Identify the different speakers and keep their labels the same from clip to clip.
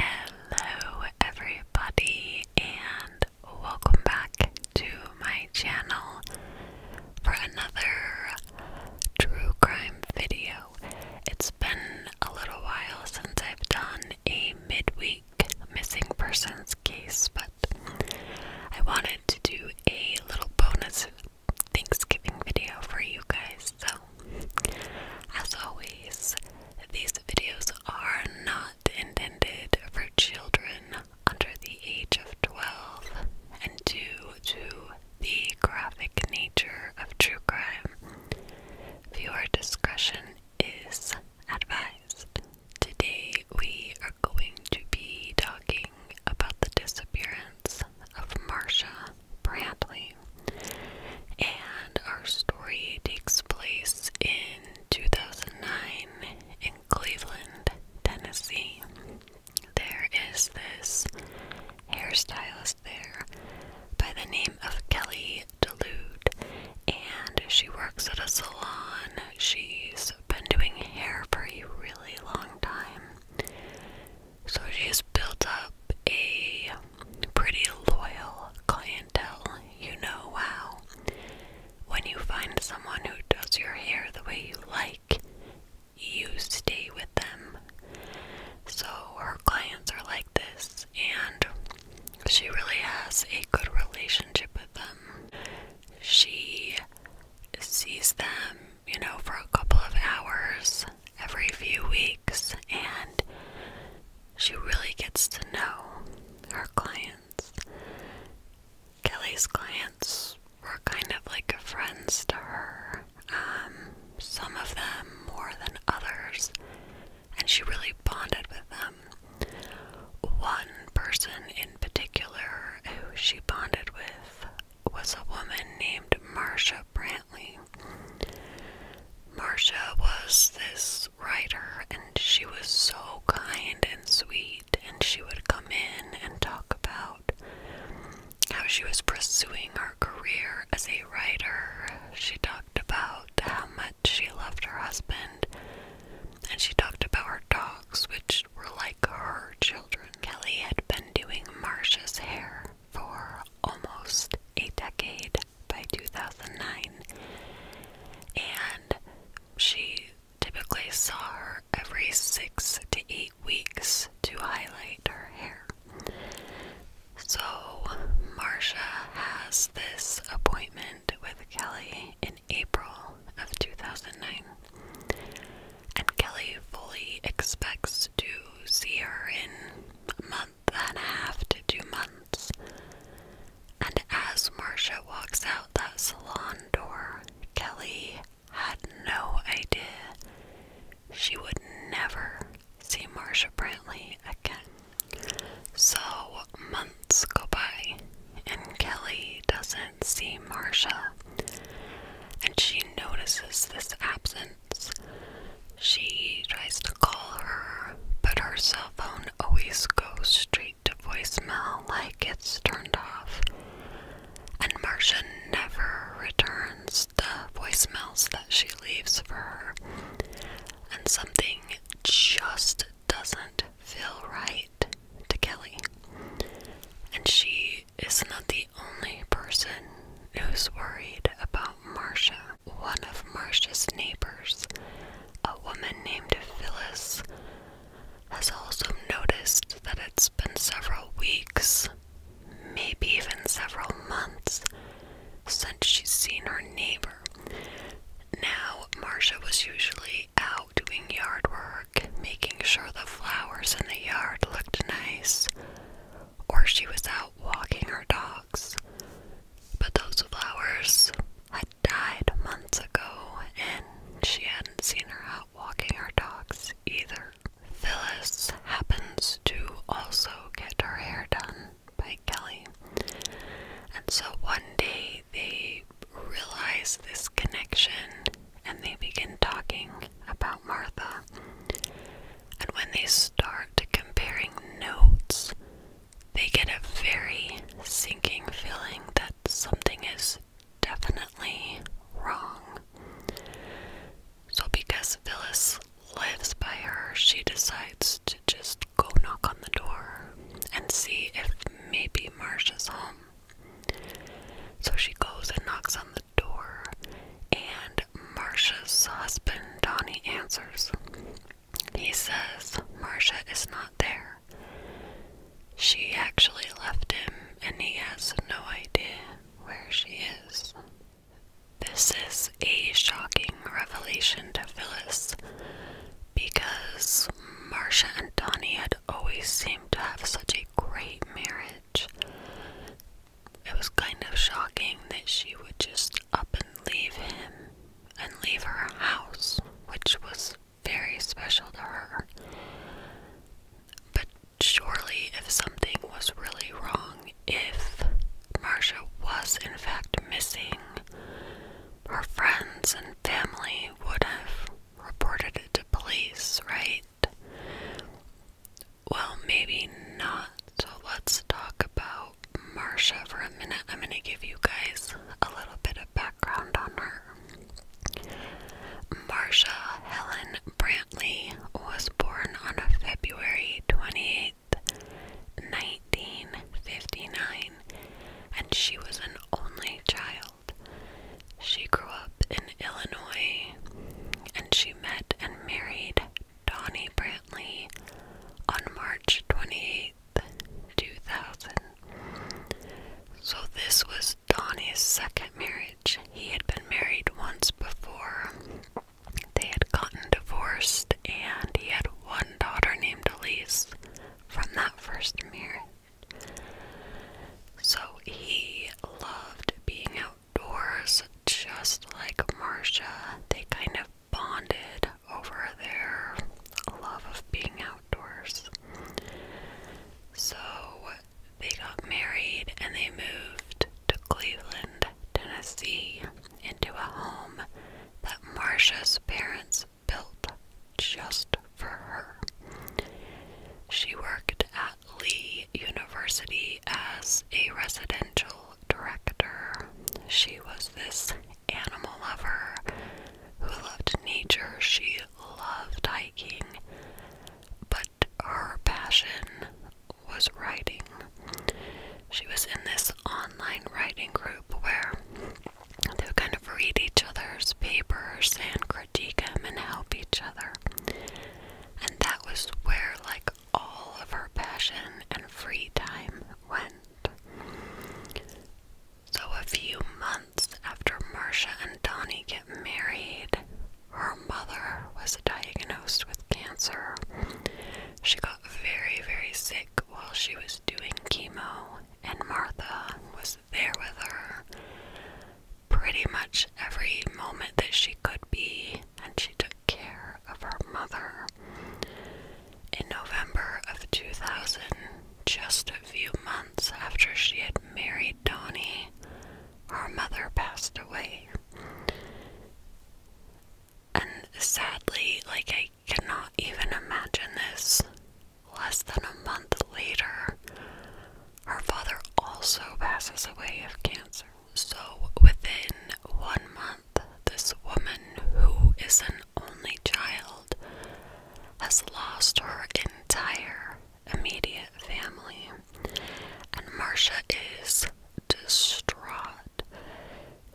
Speaker 1: Hello, everybody, and welcome back to my channel for another true crime video. It's been a little while since I've done a midweek missing persons case, but I wanted to do a little bonus Thanksgiving video for you guys, so as always, these videos are not intended for children under the age of 12 and due to the graphic nature of true crime, viewer discretion is advised. Today we are going to be talking about the disappearance of Marsha Bradley. And our story takes place in 2009 in Cleveland, Tennessee. There is this hairstylist there by the name of Kelly Delude, and she works at a salon. She's been doing hair for a really long time. So she's built up a pretty loyal clientele, you know how. When you find someone who does your hair the way you like, you stay with them. So her clients are like this, and she really has a good relationship with them. She sees them, you know, for a couple of hours every few weeks, and she really gets to know her clients. Kelly's clients were kind of like friends to her, um, some of them more than others, and she really bonded with them. One person in particular who she bonded with was a woman named Marcia Brand. Marsha was this writer, and she was so kind and sweet, and she would come in and talk about how she was pursuing her career as a writer. She talked about how much she loved her husband, and she talked about her dogs, which were like her children. Kelly had been doing Marsha's hair for almost a decade by 2009, and she typically saw her every six to eight weeks to highlight her hair. So, Marsha has this appointment with Kelly in April of 2009. And Kelly fully expects to see her in a month and a half to two months. And as Marcia walks out that salon door, Kelly had no idea she would never see Marcia Brantley again. So months go by, and Kelly doesn't see Marcia, and she notices this absence she tries to call her, but her cell phone always goes straight to voicemail like it's turned off. And Marcia never returns the voicemails that she leaves for her. And something just doesn't feel right to Kelly. And she is not the only person who's worried about Marcia one of Marsh's neighbors, a woman named Phyllis, has also noticed that it's been several weeks, maybe even several months, since she's seen her neighbor. Now, Marcia was usually out doing yard work, making sure the flowers in the yard looked nice or she was out walking her dogs. But those flowers had died months ago, and she hadn't seen her out walking her dogs either. Phyllis happens to also get her hair done by Kelly. And so one day they realize this connection and they begin talking about Martha and when they start comparing notes, they get a very sinking feeling that something is definitely wrong. So, because Phyllis lives by her, she decides to just go knock on the door and see if maybe Marsha's home. So she goes and knocks on the door, and Marsha's husband, Donnie, answers. He says Marsha is not there. She actually left him, and he has no idea where she is. This is a shocking revelation to Phyllis because Marsha and Donnie had always seemed to have such a great marriage it was kind of shocking that she would just up and leave him and leave her house, which was very special to her. But surely, if something was really wrong, if Marcia was in fact missing, her friends and family would have reported it to police, right? Well, maybe not. So let's talk about Marsha for a minute. I'm going to give you guys a little bit of background on her. Marsha Helen Brantley was born on February twenty eighth, 1959, and she was an only child. She grew up in Illinois and she met and married Donnie Brantley on March twenty eighth, 2000. So, this was Donnie's second marriage. He had been married once before. They had gotten divorced, and he had one daughter named Elise from that first marriage. So, he loved being outdoors just like Marcia. They kind of bonded over their love of being outdoors. So they got married and they moved to Cleveland, Tennessee, into a home that Marcia's parents built just for her. She worked at Lee University as a residential director. She was this animal lover who loved nature. She loved hiking, but her passion was writing. She was in this online writing group where they would kind of read each other's papers and critique them and help each other. And that was where, like, all of her passion and free time went. So, a few months after Marcia and Donnie get married, her mother was diagnosed with cancer. She got very, very sick while she was doing chemo, and Martha was there with her pretty much every moment that she could be, and she took care of her mother. In November of 2000, just a few months after she had married Donnie, her mother passed away. And sadly, like I cannot even imagine this, less than a month later, her father also passes away of cancer. So within one month, this woman, who is an only child, has lost her entire immediate family, and Marcia is distraught.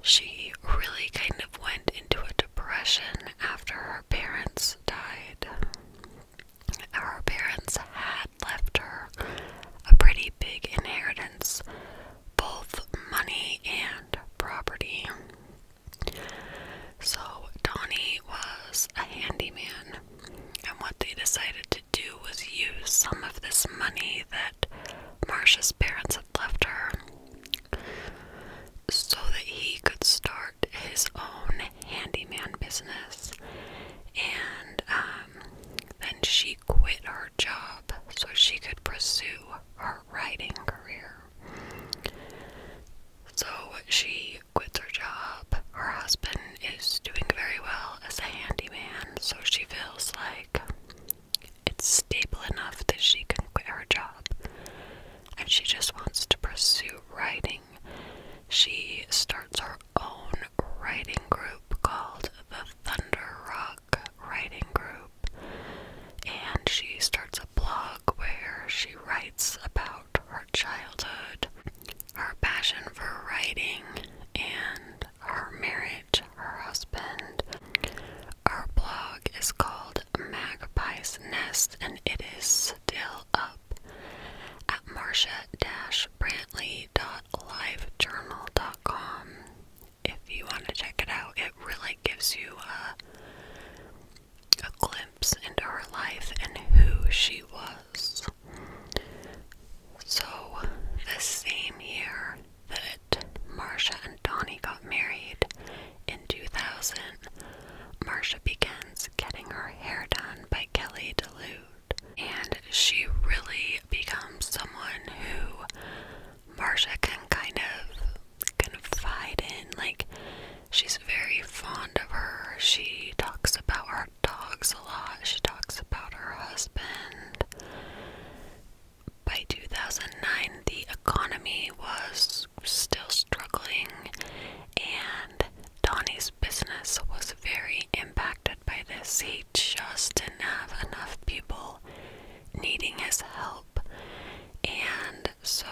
Speaker 1: She really kind of went into a depression after her parents died. Her parents had left her a pretty big inheritance, both money and property. So, Donnie was a handyman, and what they decided to do was use some of this money that Marcia's parents had left her so that he could start his own handyman business. And um, then she quit her job so she could pursue her writing career. So she quits her job. Her husband is doing very well as a handyman, so she feels like it's stable enough that she can quit her job. And she just wants to pursue writing. She starts her own writing group called the Thunder Rock Writing Group, and she starts a blog where she writes about her childhood, her passion for writing, and her marriage, her husband. Our blog is called Magpie's Nest, and it is still up at marcia brantleylivejournalcom if you want to check it out. It really gives you a, uh, a glimpse into her life and who she was. So, the same year that Marcia and Donnie got married in 2000, Marcia begins getting her hair done by Kelly DeLude. And she really becomes someone who Marsha can kind of fight in. Like, she's very fond of her. She talks about her dogs a lot, she talks about her husband. By 2009, the economy was still struggling, and Donnie's business was very impacted by this. He just didn't have enough people needing his help, and so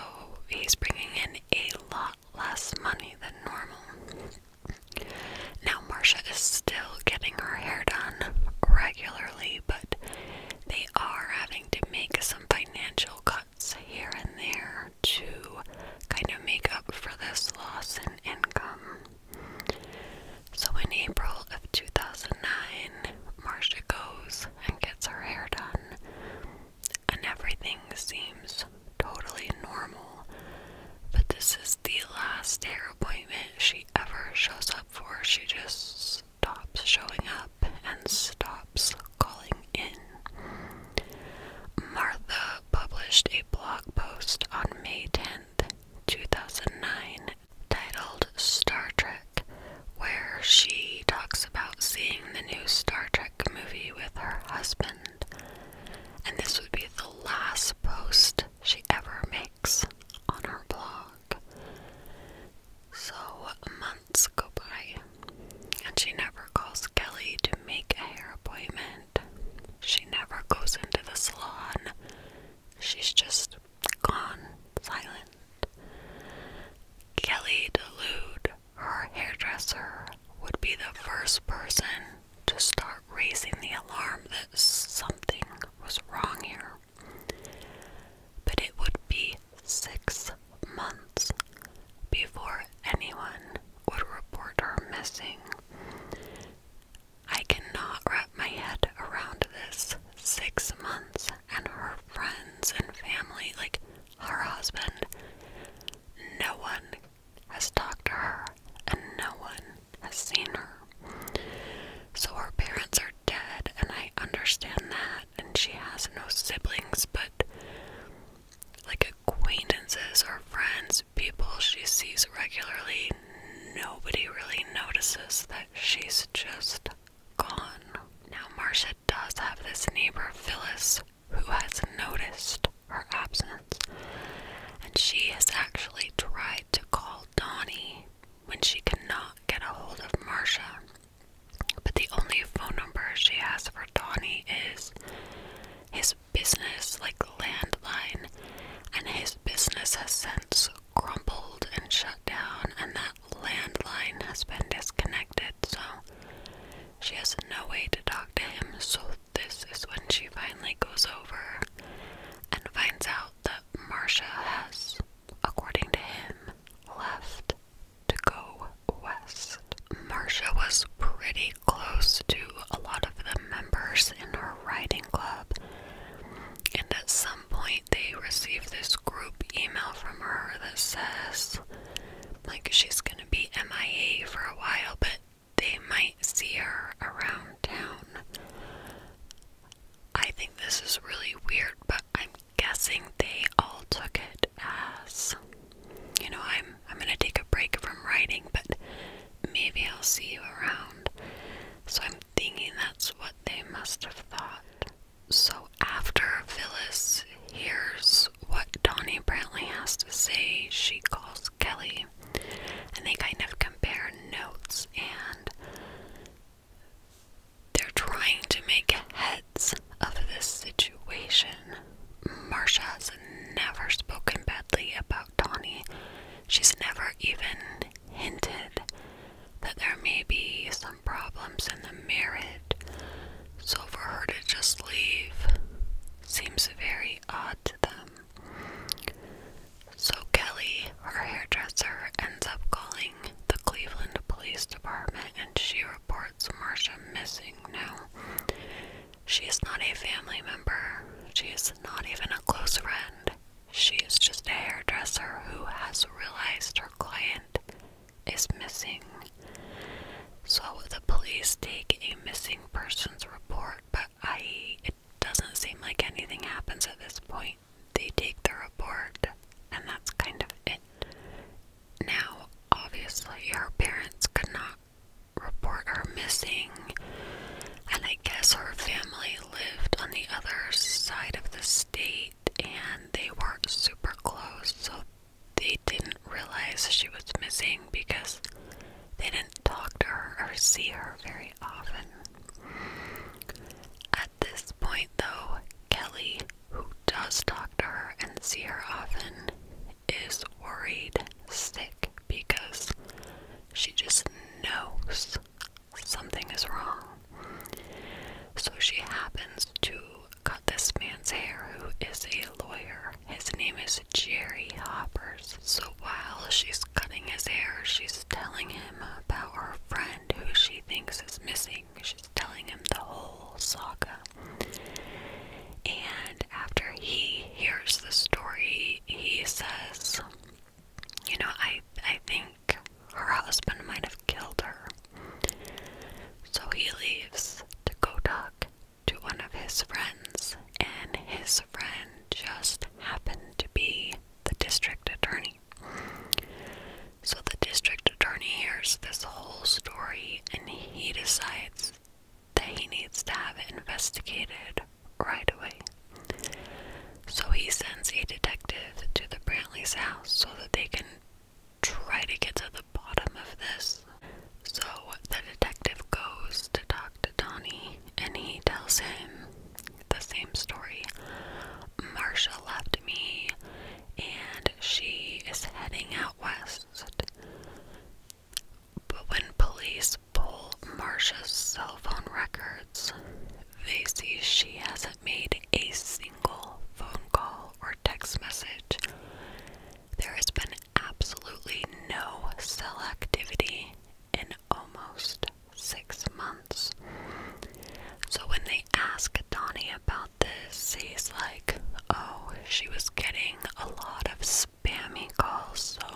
Speaker 1: he's bringing in a lot less money than normal. Now, Marcia is still getting her hair done regularly, but they are having to make some financial cuts here and there to kind of make up for this loss in income. So in April of 2009, Marcia goes and gets her hair done, and everything seems totally normal. But this is the last hair appointment she ever shows up for. She just stops showing up and stops calling in. Martha published a blog post on May 10th, 2009, titled Star Trek, where she talks about seeing the new Star Trek movie with her husband. And this would be the last post she ever makes on her blog. So months go by, and she never calls Kelly to make a hair appointment. She never goes into the salon. She's just gone silent. Kelly DeLude, her hairdresser, would be the first person to start raising the alarm that something was wrong here. But it would be six months before anyone would report her missing. I cannot wrap my head around this. Six months, and her friends and family, like her husband, no one has talked to her, and no one has seen her. So her parents are dead, and I understand that, and she has no siblings, but like acquaintances or friends, people she sees regularly, nobody really notices that she's just gone. Now, Marcia does have this neighbor, Phyllis, who has noticed her absence, and she has actually tried to call Donnie when she cannot get a hold of Marcia. But the only phone number she has for Donnie is his business, like landline, and his business has since crumpled and shut down, and that landline has been disconnected, so she has no way to talk to him. So, this is when she finally goes over and finds out that Marcia has, according to him, left to go west. Marcia was pretty close to a lot of the members in her riding club and at some point they receive this group email from her that says like she's gonna be MIA for a while but they might see her around town. I think this is really weird, but I'm guessing they all took it as you know, I'm I'm gonna take a break from writing, but maybe I'll see you around. So I'm thinking that's what they must have thought. So after Phyllis hears what Donnie Brantley has to say, she calls Kelly and they kind of compare notes and they're trying to make heads of this situation. Marsha has never spoken badly about Donnie. She's never even hinted that there may be some problems in the marriage, so for her to just leave seems very odd to them. So Kelly, her hairdresser, ends up calling the Cleveland Police Department and she reports Marcia missing. Now, she is not a family member, she is not even a close friend. She's just a hairdresser who has realized her client is missing. So the police take a missing persons report, but I it doesn't seem like anything happens at this point. They take the report and that's kind of it. Now, obviously her parents could not report her missing and I guess her family lived on the other side of the state and they weren't super close, so they didn't realize she was missing because they didn't talk to her or see her very often. At this point, though, Kelly, who does talk to her and see her often, is worried sick because she just knows something is wrong. So she happens to cut this man's hair, who is a lawyer. His name is Jerry Hoppers. So while she's cutting his hair, she's telling him about her friend who she thinks is missing. She's telling him the whole saga. And after he hears the story, he says, you know, I I think her husband might have killed her. So he leaves to go talk to one of his friends, and his friend just happened to be the district attorney. So the district attorney hears this whole story and he decides that he needs to have it investigated right away. So he sends a detective to the Brantley's house so that they can try to get to the bottom of this. So the detective goes to talk to Donnie and he tells him the same story. Marcia left me and she is heading out west. But when police pull Marsha's cell phone records, they see she hasn't made a single phone call or text message. There has been absolutely no cell activity in almost six months. So when they ask Donnie about this, he's like, oh, she was getting a lot of spammy calls, so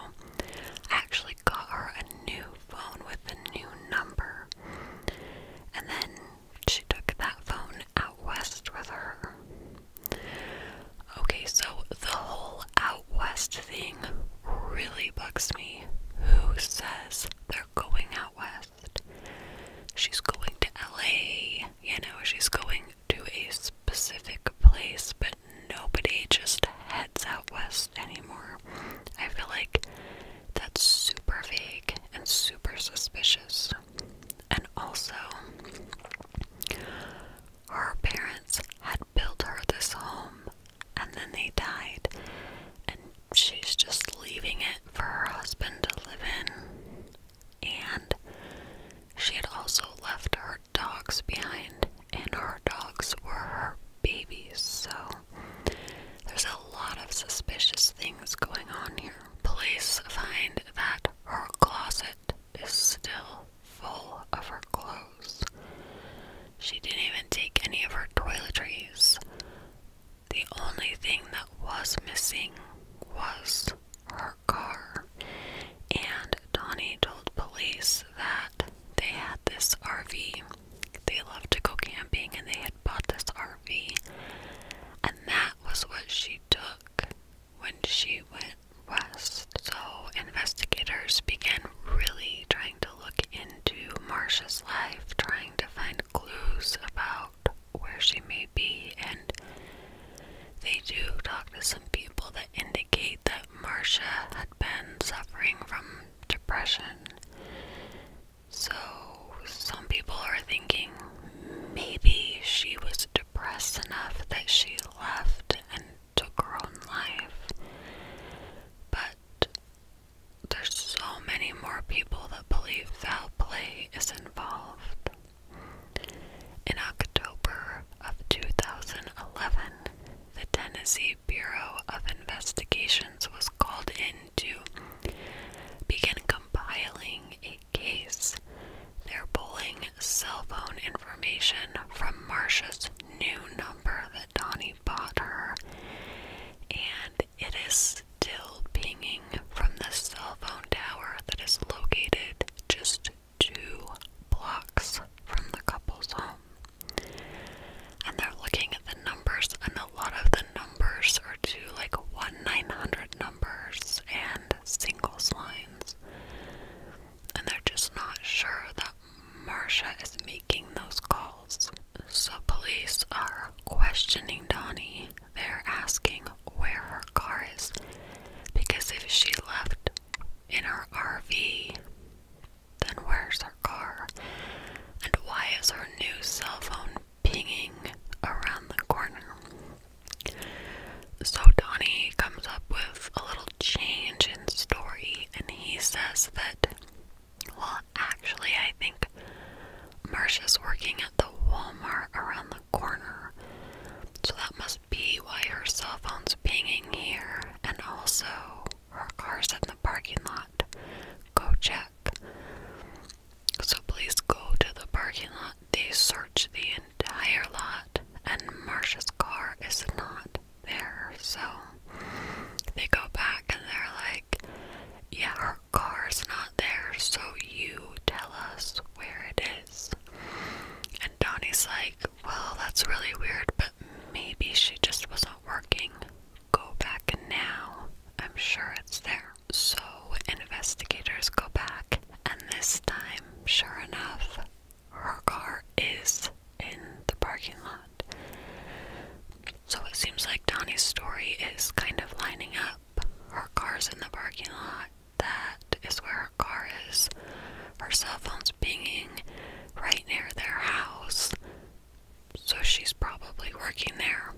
Speaker 1: actually got her a new phone with a new number. And then she took that phone out west with her. Okay, so the whole out west thing really bugs me. Who says they're going out west? She's going to LA, you know, she's going to a specific place, but nobody just heads out west anymore. I feel like that's super vague and super suspicious. And also, her parents had built her this home and then they died, and she's just leaving it for her husband to live in. And she had also left her dogs behind, and her dogs were her babies. So there's a lot of suspicious things going on here. Police find that her closet is still full of her clothes. She didn't even take any of her toiletries. The only thing that was missing was her car. And Donnie told police that they had this RV. They loved to go camping and they had bought this RV. And that was what she took when she went west. So investigators began really trying to look into Marsha's life, trying to find clues about where she may be and they do talk to some people that indicate that Marcia had been suffering from depression. So, some people are thinking maybe she was depressed enough that she left and took her own life. But there's so many more people that believe foul play is involved. In October of 2011, the Tennessee the Bureau of Investigations was called in to begin compiling a case. They're pulling cell phone information from Marcia's new number that Donnie bought her, and it is still pinging from the cell phone tower that is located just two blocks from the couple's home. And they're looking at the numbers, and a lot of the numbers are two, like 1 900 numbers and single lines. And they're just not sure that Marsha is making those calls. So, police are questioning Donnie. They're asking where her car is because if she left in her RV, then where's her car? And why is her new cell phone pinging around the corner? So Donnie comes up with a little change in story and he says that, well, actually, I think Marcia's working at the Walmart around the corner. So that must be why her cell phone's pinging here, and also her car's in the parking lot. Go check. So please go to the parking lot. They search the entire lot, and Marsha's car is not there. So they go back and they're like, Yeah, her car's not there, so you tell us where it is. And Donnie's like, Well, that's really weird, but maybe she just wasn't working. Go back now. I'm sure it's there. So investigators go back, and this time, sure enough, her car is in the parking lot. So it seems like Donnie's story is kind of lining up. Her car's in the parking lot. That is where her car is. Her cell phone's pinging right near their house, so she's probably working there.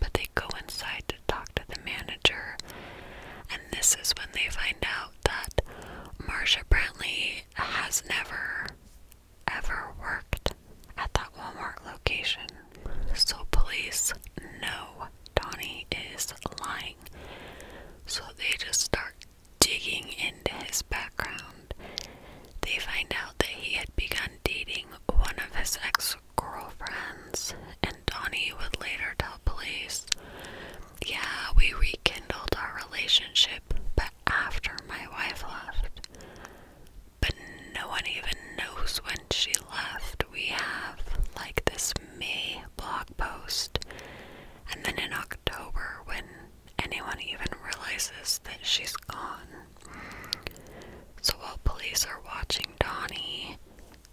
Speaker 1: But they go inside to talk to the manager, and this is when they find out that Marsha Brantley has never, ever worked at that Walmart location. So, police know Donnie is lying. So, they just start Digging into his background, they find out that he had begun dating one of his ex girlfriends, and Donnie would later tell police, Yeah, we rekindled our relationship, but after my wife left. But no one even knows when she left. We have like this May blog post. And then in October, when anyone even realizes that she's gone. So while police are watching Donnie,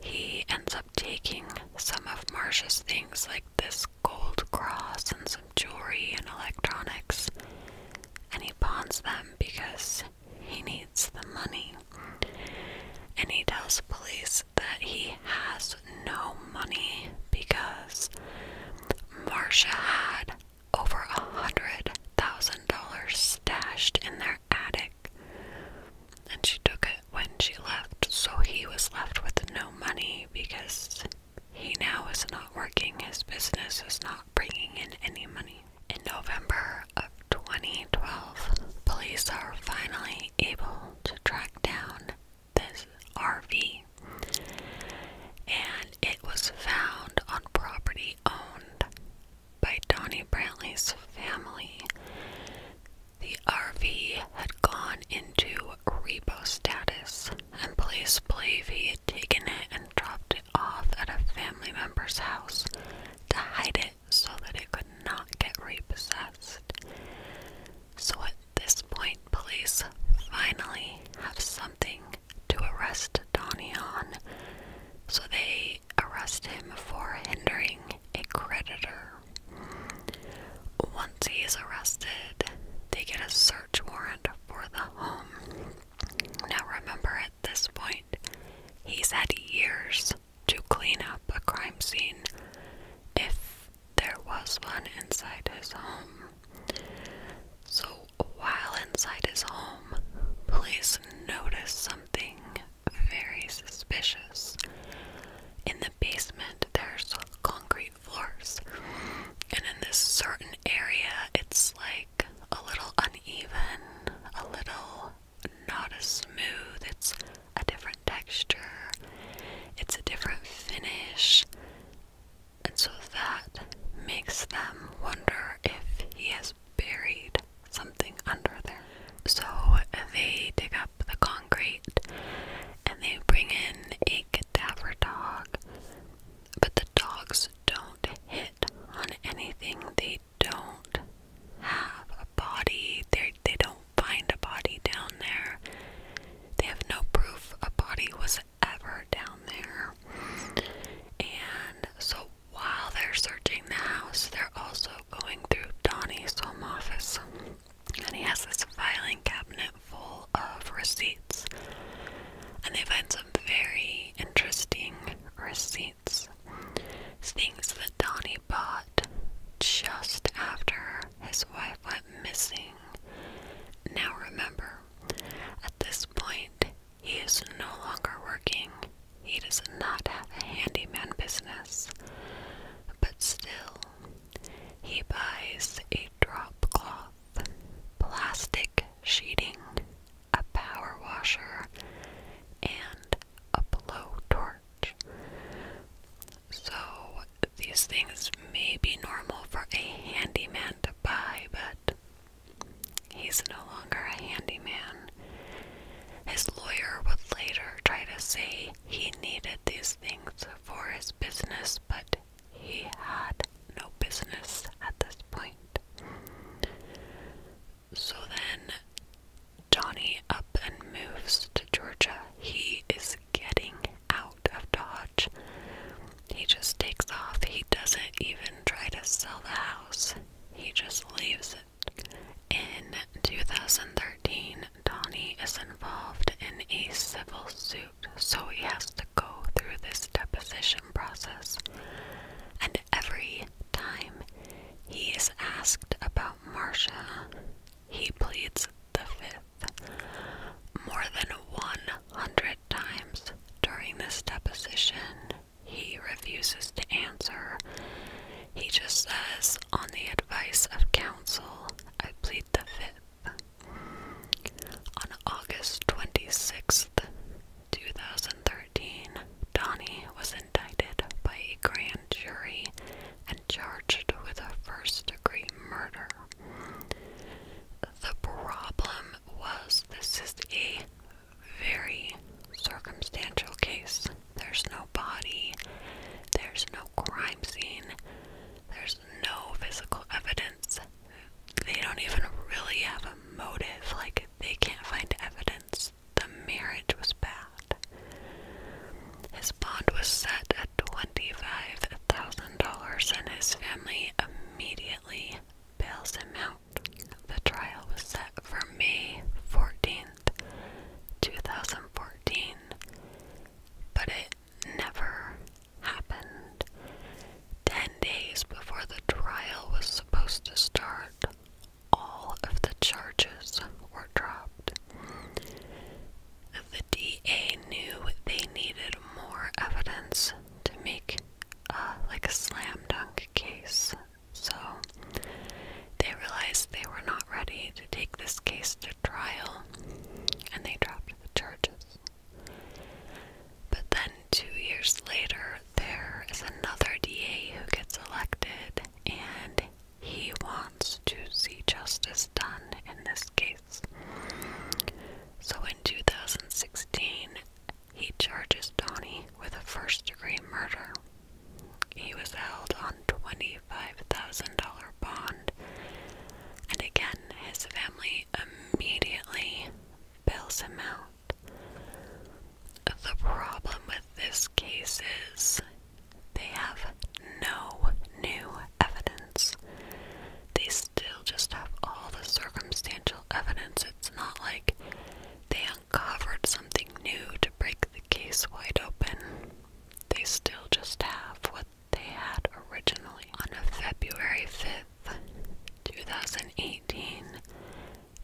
Speaker 1: he ends up taking some of Marsha's things, like this gold cross and some jewelry and electronics, and he pawns them because he needs the money. And he tells police that he has no money because Marcia had over a hundred thousand dollars stashed in their attic and she took it when she left, so he was left with no money because he now is not working, his business is not bringing in any money. In November of 2012, police are finally able to track down this RV, and it was found on property owned by Donnie Brantley's family. The RV had gone into repo status, and police believe he had taken it and dropped it off at a family member's house to hide it so that it could not get repossessed. So at this point, police finally have something to arrest Donnie on. So they arrest him for hindering a creditor. Once he is arrested, they get a search warrant for the home. Now remember, at this point, he's had years to clean up a crime scene. If there was one inside his home. So while inside his home, police noticed something very suspicious. In the basement, there's concrete floors, and in this certain area, it's like a little uneven, a little not as smooth. It's a different texture, it's a different finish and so that makes them wonder if he has buried something under there. So they dig up the concrete and they bring in a cadaver dog, but the dogs don't hit on anything. They don't have a body. They they don't find a body down there. They have no proof a body was ever down there. And so while they're searching the house, they're also going through Donnie's home office. And he has this filing cabinet full of receipts. And they find some very interesting receipts. Things that Donnie bought just after his wife went missing now remember, at this point, he is no longer working. He does not have a handyman business. But still, he buys a drop cloth, plastic sheeting, a power washer, and a blowtorch. So, these things may be normal for a handyman to buy, but he's no longer a handyman. His lawyer would later try to say he needed these things for his business, but he had no business at this point. So then Johnny up and moves to Georgia. He is getting out of Dodge. He just takes off. He doesn't even try to sell the house, he just leaves it. In 2013, Donnie is involved in a civil suit, so he has to go through this deposition process. And every time he is asked about Marcia, he pleads the fifth. More than 100 times during this deposition, he refuses to answer. He just says, on the advice of counsel, I plead the fifth. On August 26th, 2013, Donnie was indicted by a grand jury and charged with a first degree murder. The problem was this is a very circumstantial case. There's no body, there's no crime scene, there's no physical evidence. They don't even really have a motive, like, they can't find evidence. The marriage was bad. His bond was set at 25000 dollars and his family immediately bails him out. The trial was set for May 14th, 2014, but it never happened. Ten days before the trial was supposed to start, all of the charges were dropped. The DA knew they needed more evidence to make uh, like a slam dunk case, so they realized they were not ready to take this case to trial and they dropped the charges. But then two years later, there is another DA who gets elected and he wants to see justice done in this case. So in 2016, he charges Donnie with a first degree murder. He was held on $25,000 bond, and again, his family immediately bails him out. The problem with this case is they have no new evidence. They still just have all the circumstantial evidence. It's not like they uncovered something new to break the case wide open. They still just have what they had originally. On February 5th, 2018,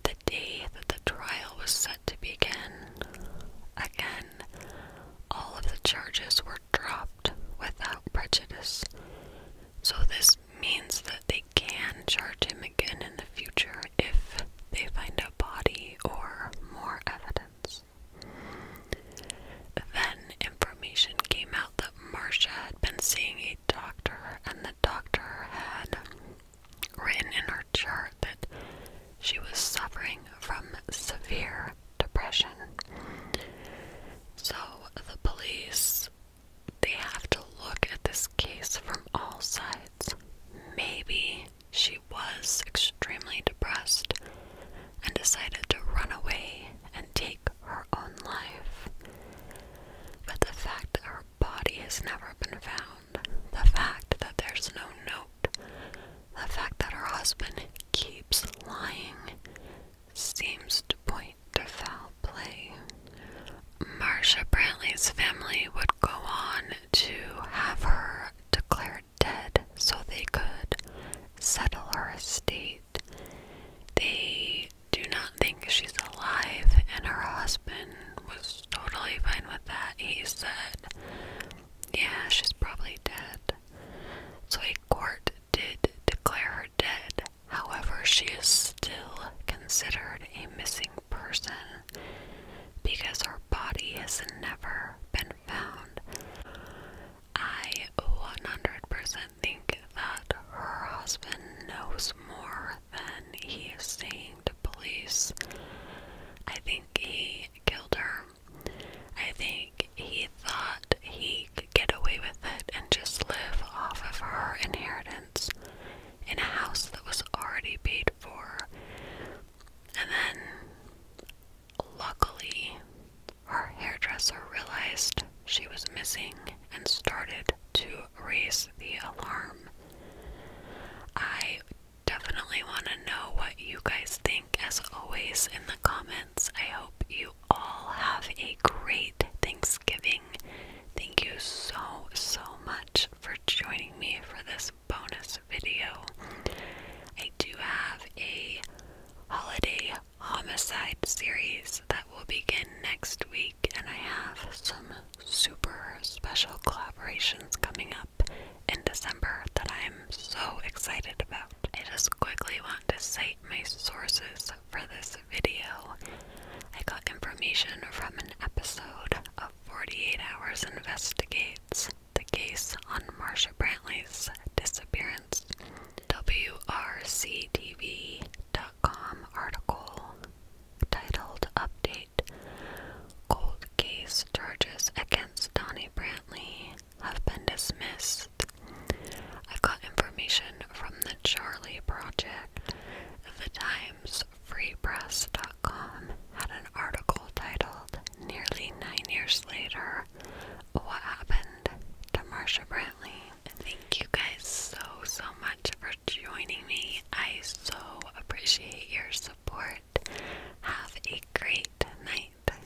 Speaker 1: the day that the trial was set to begin, again all of the charges were dropped without prejudice. So, this means that they can charge him again in the future if they find a body or more evidence. Then, information came out that Marcia had been seeing a doctor, and the doctor had written in her chart that she was suffering from severe depression. So the police they have to look at this case from all sides. Maybe she was extremely depressed and decided to run away and take her own life. But the fact that her body has never been found, the fact that there's no note, the fact that her husband keeps lying seems to point to foul play. Marsha Brantley's family would go on to have her declared dead so they could settle her estate. They do not think she's alive, and her husband was totally fine with that. He said, Yeah, she's probably dead. So he court did declare her dead. However, she is still considered a missing person because her body has never been found. I 100% think that her husband knows more than he is saying to police. I think he killed her I think he thought he could get away with it and just live off of her inheritance in a house that was already paid for. And then, luckily, her hairdresser realized she was missing and started to raise the alarm. I definitely want to know what you guys think, as always, in the comments. I hope you all have a great Thanksgiving. Thank you so, so much for joining me for this bonus video. I do have a holiday homicide series that will begin next week, and I have some super special collaborations coming up in December that I'm so excited about. It is just one want to cite my sources for this video. I got information from an episode of 48 Hours Investigates, the case on Marsha Brantley's disappearance. WRCTV.com article titled Update Cold Case Charges Against Donnie Brantley have been dismissed. I got information from the Charlie Project. The Times Free Press dot com had an article titled Nearly Nine Years Later What Happened to Marcia Brantley. Thank you guys so, so much for joining me. I so appreciate your support. Have a great night.